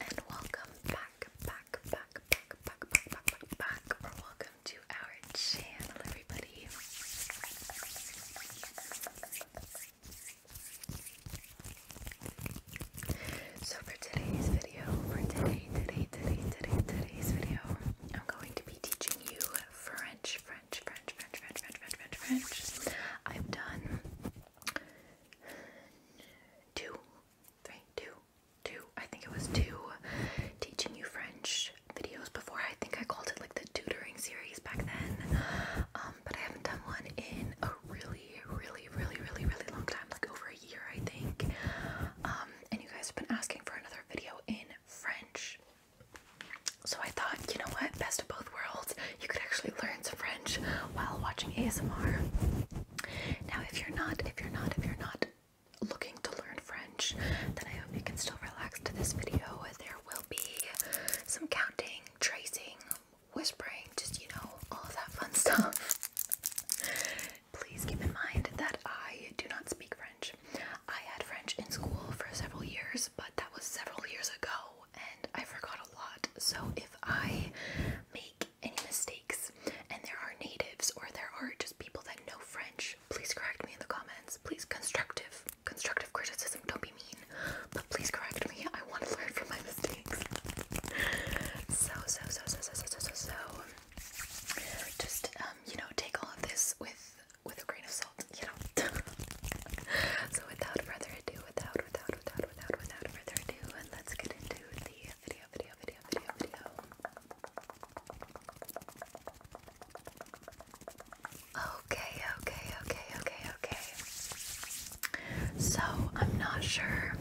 And welcome back, back, back, back, back, back, back, back, welcome to our channel, everybody. So for today's video, for today, today, today, today, today's video, I'm going to be teaching you French, French, French, French, French, French, French, French, I've done two, three, two, two. I think it was two teaching you French videos before. I think I called it like the tutoring series back then. Um, but I haven't done one in a really, really, really, really, really long time, like over a year, I think. Um, and you guys have been asking for another video in French. So I thought, you know what, best of both worlds, you could actually learn some French while watching ASMR. Now, if you're not, if you're not, if you're not looking to learn French, then I hope you can still relax to this video. There will be some counting, tracing, whispering, just you know, all of that fun stuff. Please keep in mind that I do not speak French. I had French in school for several years, but that was several years ago and I forgot a lot. So if I make any mistakes and there are natives or there are just people that know French, please correct me in the comments. Please constructive, constructive criticism. Don't be mean, but please correct me. I want to learn from my mistakes. So so so so so so so so. so. Just um, you know, take all of this with with a grain of salt, you know. so without further ado, without without without without without further ado, and let's get into the video, video, video, video, video. Okay, okay, okay, okay, okay. So I'm not sure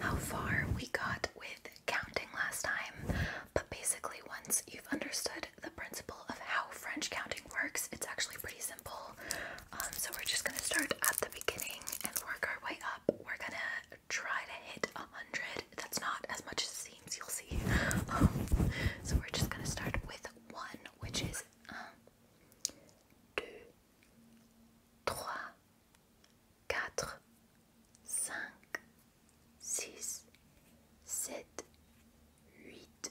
how far we got with counting last time, but basically once you've understood the principle of how French counting works, it's actually pretty simple. Um, so we're just gonna start at the beginning and work our way up. We're gonna try to hit a hundred. That's not as much as it seems, you'll see. so we're just gonna start with one, which is un, um, deux, trois, quatre, cinq, six, sept, huit,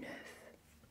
neuf.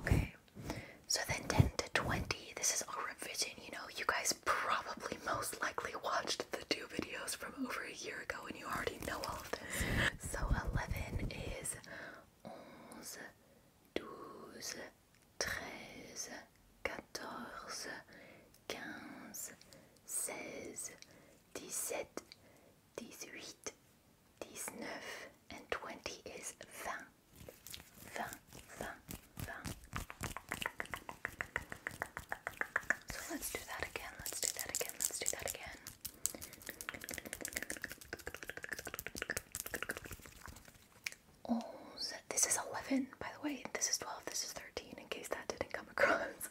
Okay, so then 10 to 20, this is all revision. You know, you guys probably most likely watched the two videos from over a year ago and you already know all of this. So 11 is 11, 12, 13, 14, 15, 16, dix-sept, dix and twenty is vingt. Vingt, vingt, vingt. So let's do that again. Let's do that again. Let's do that again. Onze. This is eleven, by the way. This is twelve. This is thirteen. In case that didn't come across.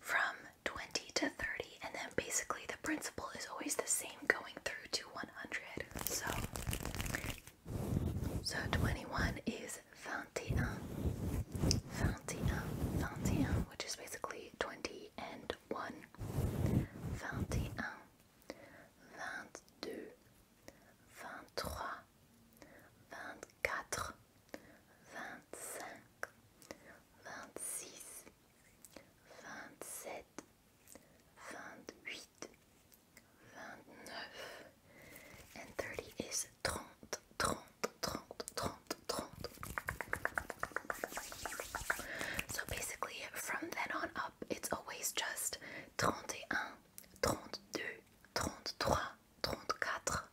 from 20 to 30, and then basically the principle is always the same going through to 100. So, so 21 is 21, 21, 21, which is basically 20 and 1. 21, 22, 23, 24, 24, 25, 26, 27, 28, vingt and thirty is trente, So basically, from then on up, it's always just trente et un,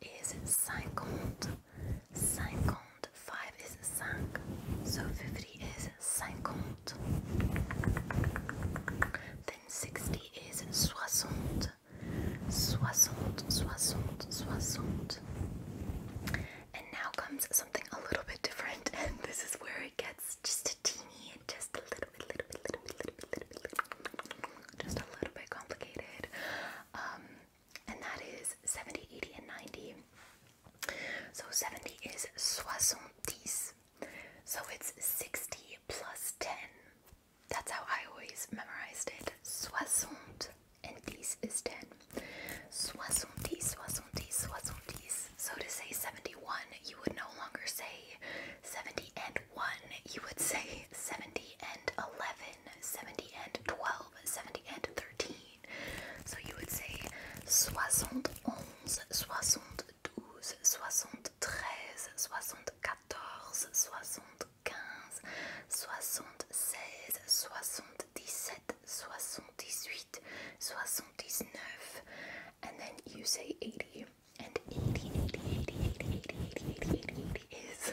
is 50. 55 is 5, so 50 is 50. Then 60 is 60. 60, 60, 60. And now comes something a little bit different, and this is where it gets just a teeny, just a little bit, little bit, little bit, just a little bit complicated. Um, and that is 70, and 90. So 70 is soixante So it's 60 plus 10. That's how I always memorized it. Soixante and 10 is 10. So to say 71, you would no longer say 70 and 1. You would say 70 and 11, 70 and 12, 70 and 13. So you would say soixante onze, soixante douze, soixante treize, soixante quatorze, soixante quinze, soixante seize, soixante dix-sept, soixante dix-huit, soixante dix-neuf, and then you say eighty. And 80, 80, 80, 80, 80, 80, 80, 80 is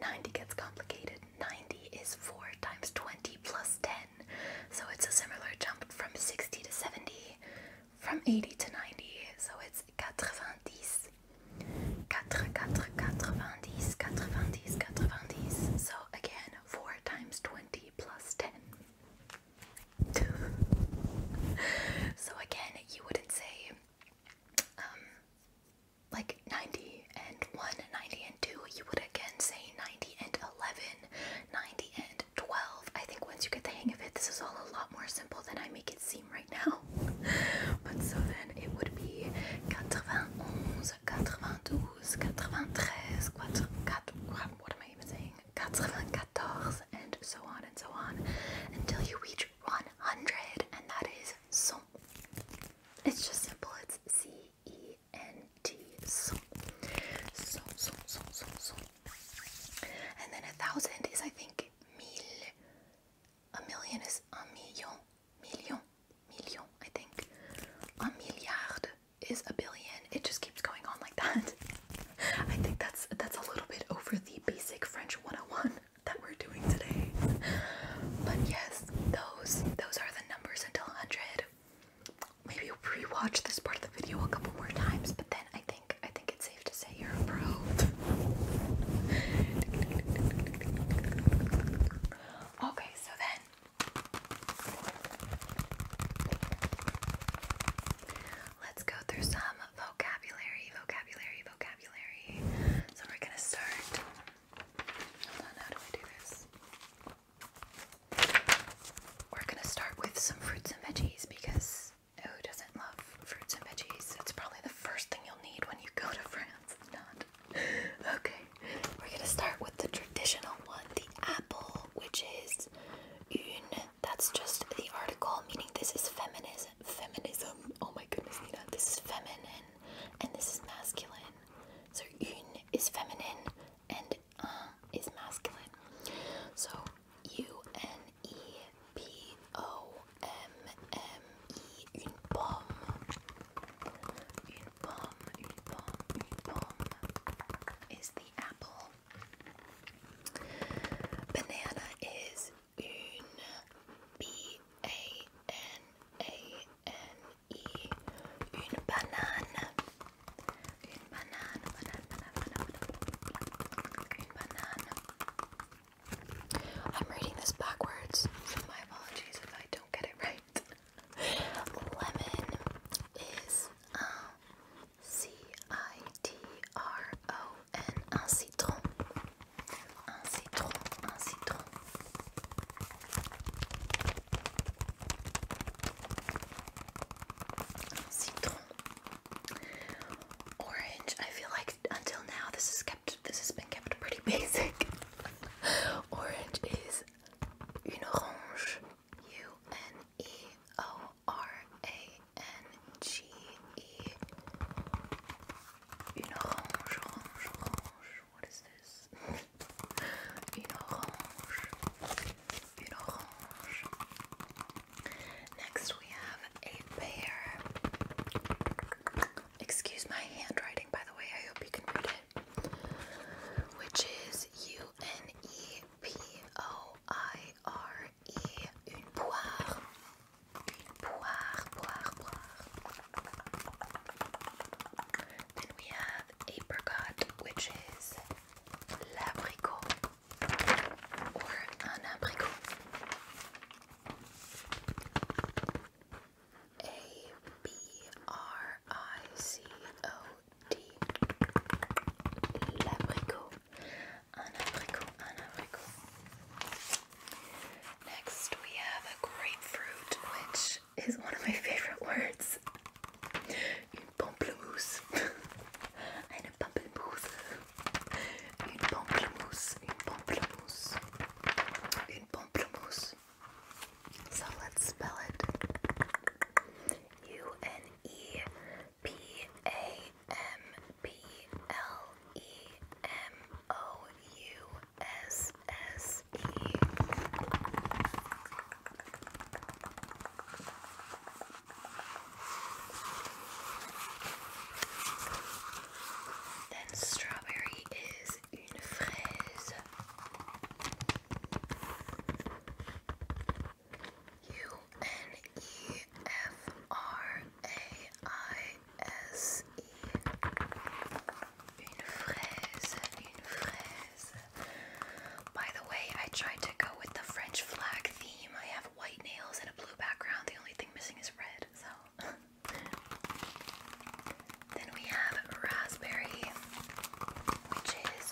90 gets complicated. 90 is 4 times 20 plus 10. So it's a similar jump from 60 to 70, from 80 to 90. So it's 90. 4, 4, 90, 90, 90. So again, 4 times 20 plus 10. so again, you wouldn't say um, like 90 and 1, 90 and 2, you would again say 90 and 11, 90 and 12. I think once you get the hang of it, this is all a lot more simple than I make it seem right now. but so then it would be 91, 92, 93, 4, 4, what am I even saying? 94, and so on and so on until you reach 100, and that is so. It's just simple. It's C E T so so so so so and then a thousand is I think mil a million is a million million million I think a milliard is a billion it just keeps going on like that I think that's that's a little bit over the basic French 101 that we're doing today but yes those those are the numbers until 100. Maybe rewatch this part of the video a couple more times, but then I think I think it's safe to say you're a pro. okay, so then let's go through some vocabulary, vocabulary, vocabulary. So we're gonna start we're gonna start with some fruits and veggies because who doesn't love fruits and veggies? It's probably the first thing you'll need when you go to France. Not okay. We're gonna start with the traditional one, the apple, which is une. That's just the article, meaning this is feminism. Feminism. Oh my goodness, you know This is feminine, and this is masculine. So une is feminine and un uh, is masculine. So U N E P O M M E une pomme. Une pomme, une pomme, une pomme is the apple. Banana is une B A N A N-I, I'm reading this backwards, my apologies if I don't get it right. Lemon is un um, C-I-T-R-O-N, un citron, un citron. Citron. Orange. I feel like until now this is kept this has been kept pretty basic. Orange is une U N E O R A N G E. Une orange, orange what is this? Une orange. Une orange. Next we have a pear. Excuse my handwriting by the way, I hope you can read it. Which is U N E P O I R E. Une poire. Une poire, poire, poire. Then we have apricot, which is l'abricot or un abricot. A B R I C O D. L'abricot. Un abricot, un abricot. Next, we have a grapefruit, which is one of my favorite words. Une pamplemousse. Eine pamplemousse. Une pamplemousse. Une pamplemousse. So let's spell it. U N E P A M P L E M O U S S then strawberry is une fraise. U N E F R A I S E. By the way, I tried to go with the French flag theme. I have white nails and a blue background. The only thing missing is red, so. then we have raspberry, which is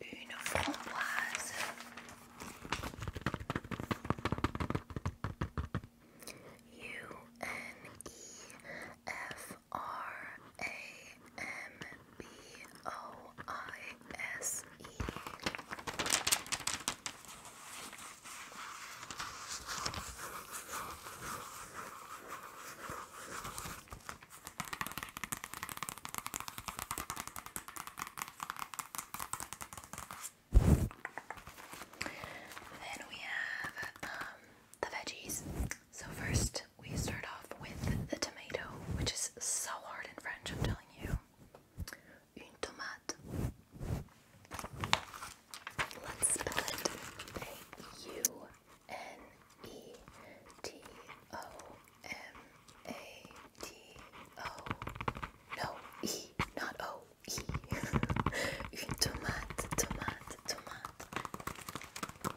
une framboise. U N E F R A M B O I S E. Then we have um, the veggies. So first we start off with the tomato, which is so hard in French, I'm telling you. Une tomate. Let's spell it. U N E T O M A T O. No, E, not O, E. Une tomate, tomate, tomate.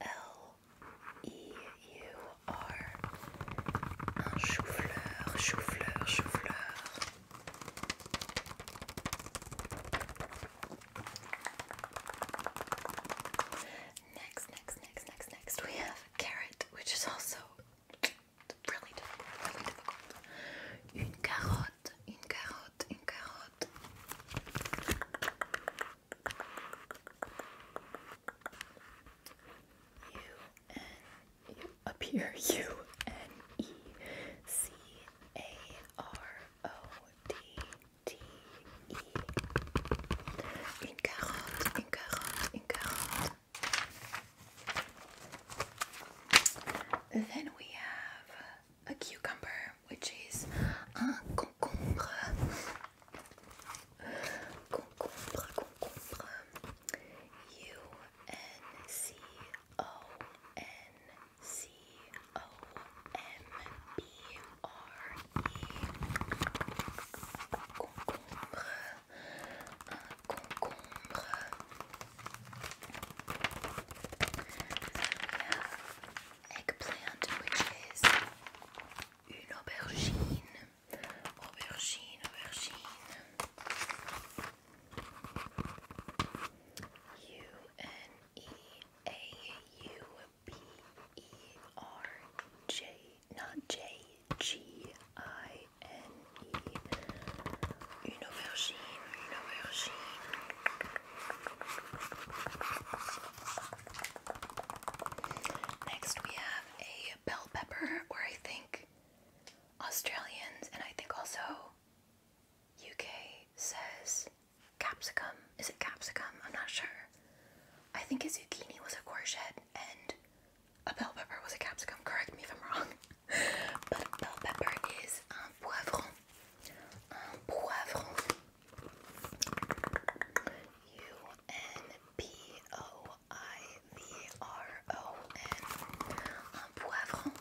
L E U R. Un chou-fleur, Next, next, next, next, next, we have carrot, which is also really difficult, really carotte, une carotte, une carotte. U N U up here U N E C A R O D T E in carrot in carrot in Then we have a cucumber, which is un concombre. Concombre, concombre. U N C O N C O M B R E. Concombre, concombre. eggplant, which is une aubergine, aubergine, aubergine. U N E A U B E R J, not J, G I N E. Une aubergine, une aubergine. Next, we have a bell pepper, where I think Australians and I think also UK says capsicum. Is it capsicum? I'm not sure. I think a zucchini was a courgette and a bell pepper was a capsicum. Correct me if I'm wrong. but bell pepper is um, poivron. Um, poivron. U N P O I V R O N. Un poivron.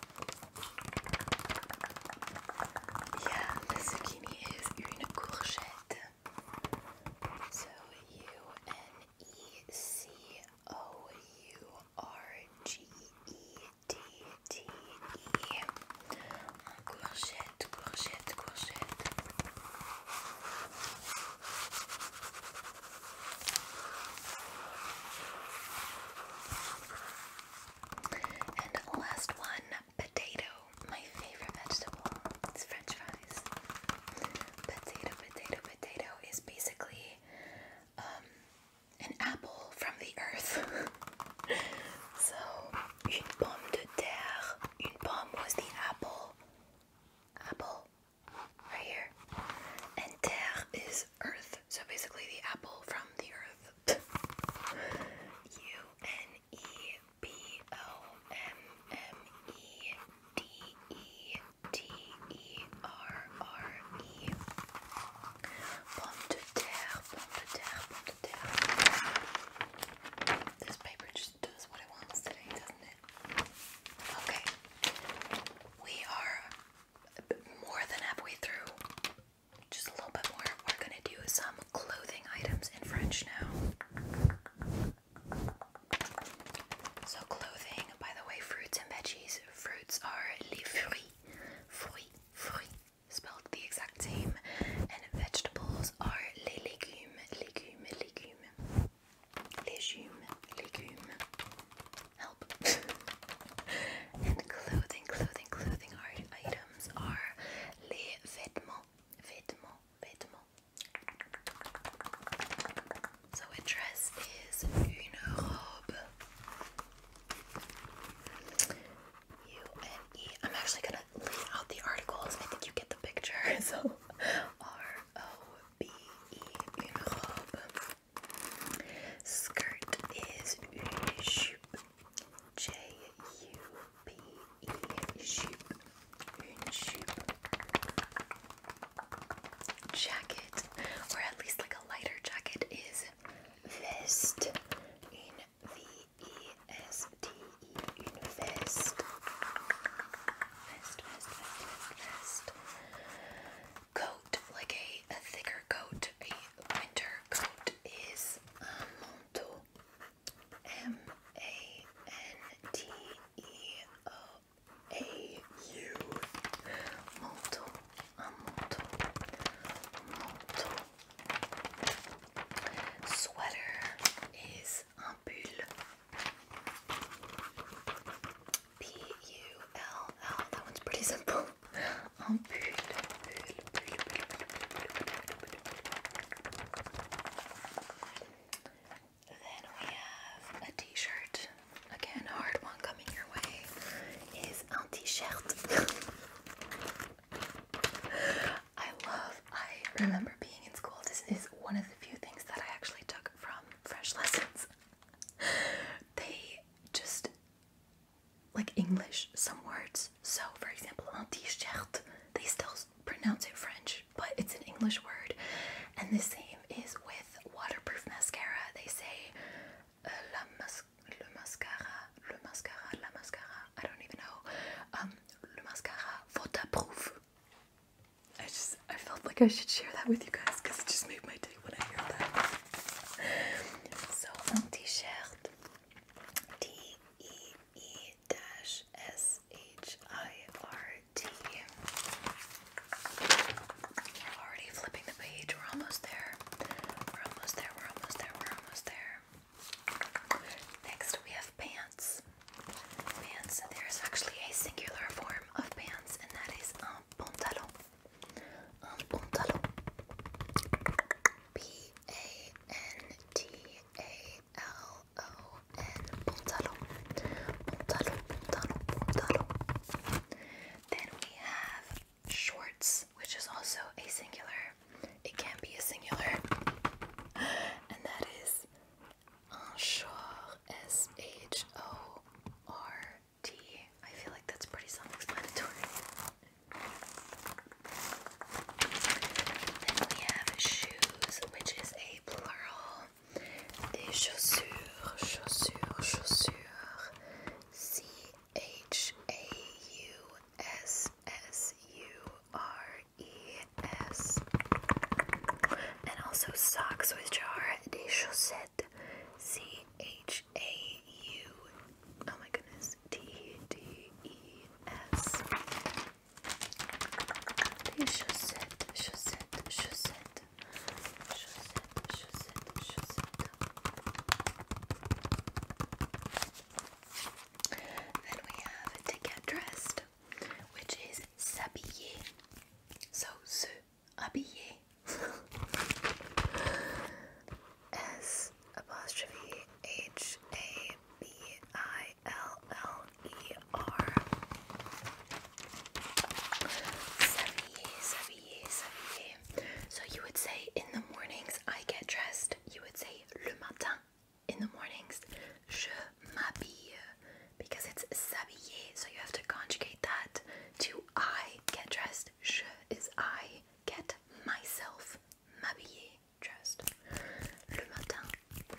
Yeah, the zucchini une courgette. So U N E C O U R G E T T E en courgette, courgette, courgette. And the last one, potato, my favorite vegetable. It's French fries. Potato, potato, potato is basically um, an apple from the earth. so une pomme de terre. Une pomme was the apple. Apple. Right here. And terre is earth. So basically the apple from the earth. U N E B O M M E D E T E R R E. Pomme de terre, pomme de terre, Okay. We are more than halfway through. Just a little bit more. We're gonna do some clothing items in French now. So clothing, by the way, fruits and veggies. Fruits are les fruits, fruits, fruits, spelled the exact same, and vegetables are les légumes, légumes, légumes. Légumes, légumes. Help. and clothing, clothing, clothing are items are les vêtements, vêtements, vêtements. So a dress is une robe. U N E. I'm actually gonna leave out the articles. I think you get the picture. So R O B E. Une Skirt is une jupe. Jacket, or at least like a lighter jacket, is vest. in veste. E-E-S-T-E, -E, Vest, vest, vest, vest, Coat, like a, thicker coat, a winter coat is un uh, manteau. M-A-N-T-E-O-A-U. Manteau, un manteau, Sweater is un pull. P U L L. That one's pretty simple. Un Then we have a t-shirt. Again, hard one coming your way is un t-shirt. I love, I remember being in school. This is one of the few things that I actually took from French lessons. They just, like English, some words. So, for example, un t-shirt, they still pronounce it French, but it's an English word. And the same is with waterproof mascara. They say uh, le mascara, le mascara, la mascara. I don't even know. Um, le mascara I just I felt like I should share that with you guys because it just made my day when I heard that. So un t-shirt T E E dash S H already flipping the page. We're almost there. We're almost there. We're almost there. We're almost there. Next, we have pants. Pants, there is actually a singular form of pants, and that is un pantalon. Un pantalon. P A N T A L O N. Pantalon. Pantalon, pantalon, pantalon. Then we have shorts, which is also a singular it can be a singular, and that is Anshor, S H O R T. I feel like that's pretty self explanatory. Then we have shoes, which is a plural. Des chaussures, chaussures, chaussures. C H A U S S U R E-S and also socks which are des chaussettes C-H-A-U oh my goodness T-D-E-S des chaussettes, chaussettes, chaussettes chaussettes, chaussettes, chaussettes then we have To Get Dressed, which is s'habiller. So, se habiller. S'habiller, s'habiller, s'habiller. So you would say in the mornings I get dressed, you would say le matin in the mornings, je m'habille, because it's s'habiller, so you have to conjugate that to I get dressed. Je is I get myself m'habiller dressed. Le matin,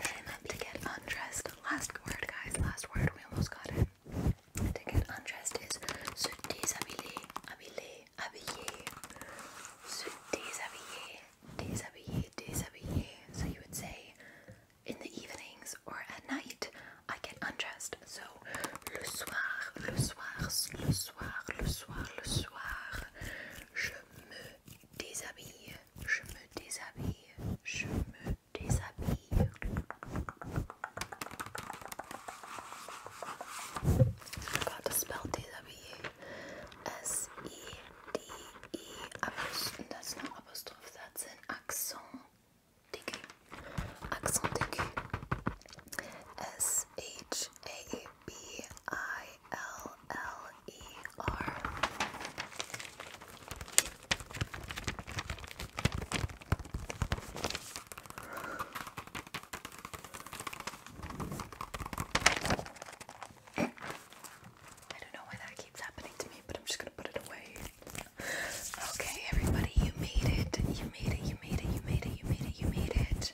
je m'habille to get undressed. Last word, guys, last word, we almost got it. To get undressed is se déshabiller, habiller, habiller, se déshabiller, déshabillé, déshabillé. So you would say in the evenings or at night, I get undressed. So le soir, le soir, le soir, le soir, le soir, je me déshabille, je me déshabille, je me déshabille. I forgot to spell déshabiller. S E D, E, apostrophe, that's not apostrophe, that's an accent aigu. Accent aigu. S, H, A, B, I, L, L, E, R. I don't know why that keeps happening to me, but I'm just gonna put it away. Okay, everybody, you made it. You made it. You made it. You made it. You made it. You made it.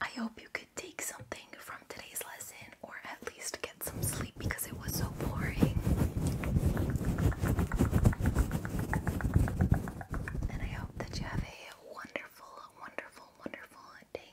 I hope you could take something from today's lesson, or at least get some sleep because it was so boring. And I hope that you have a wonderful, wonderful, wonderful day.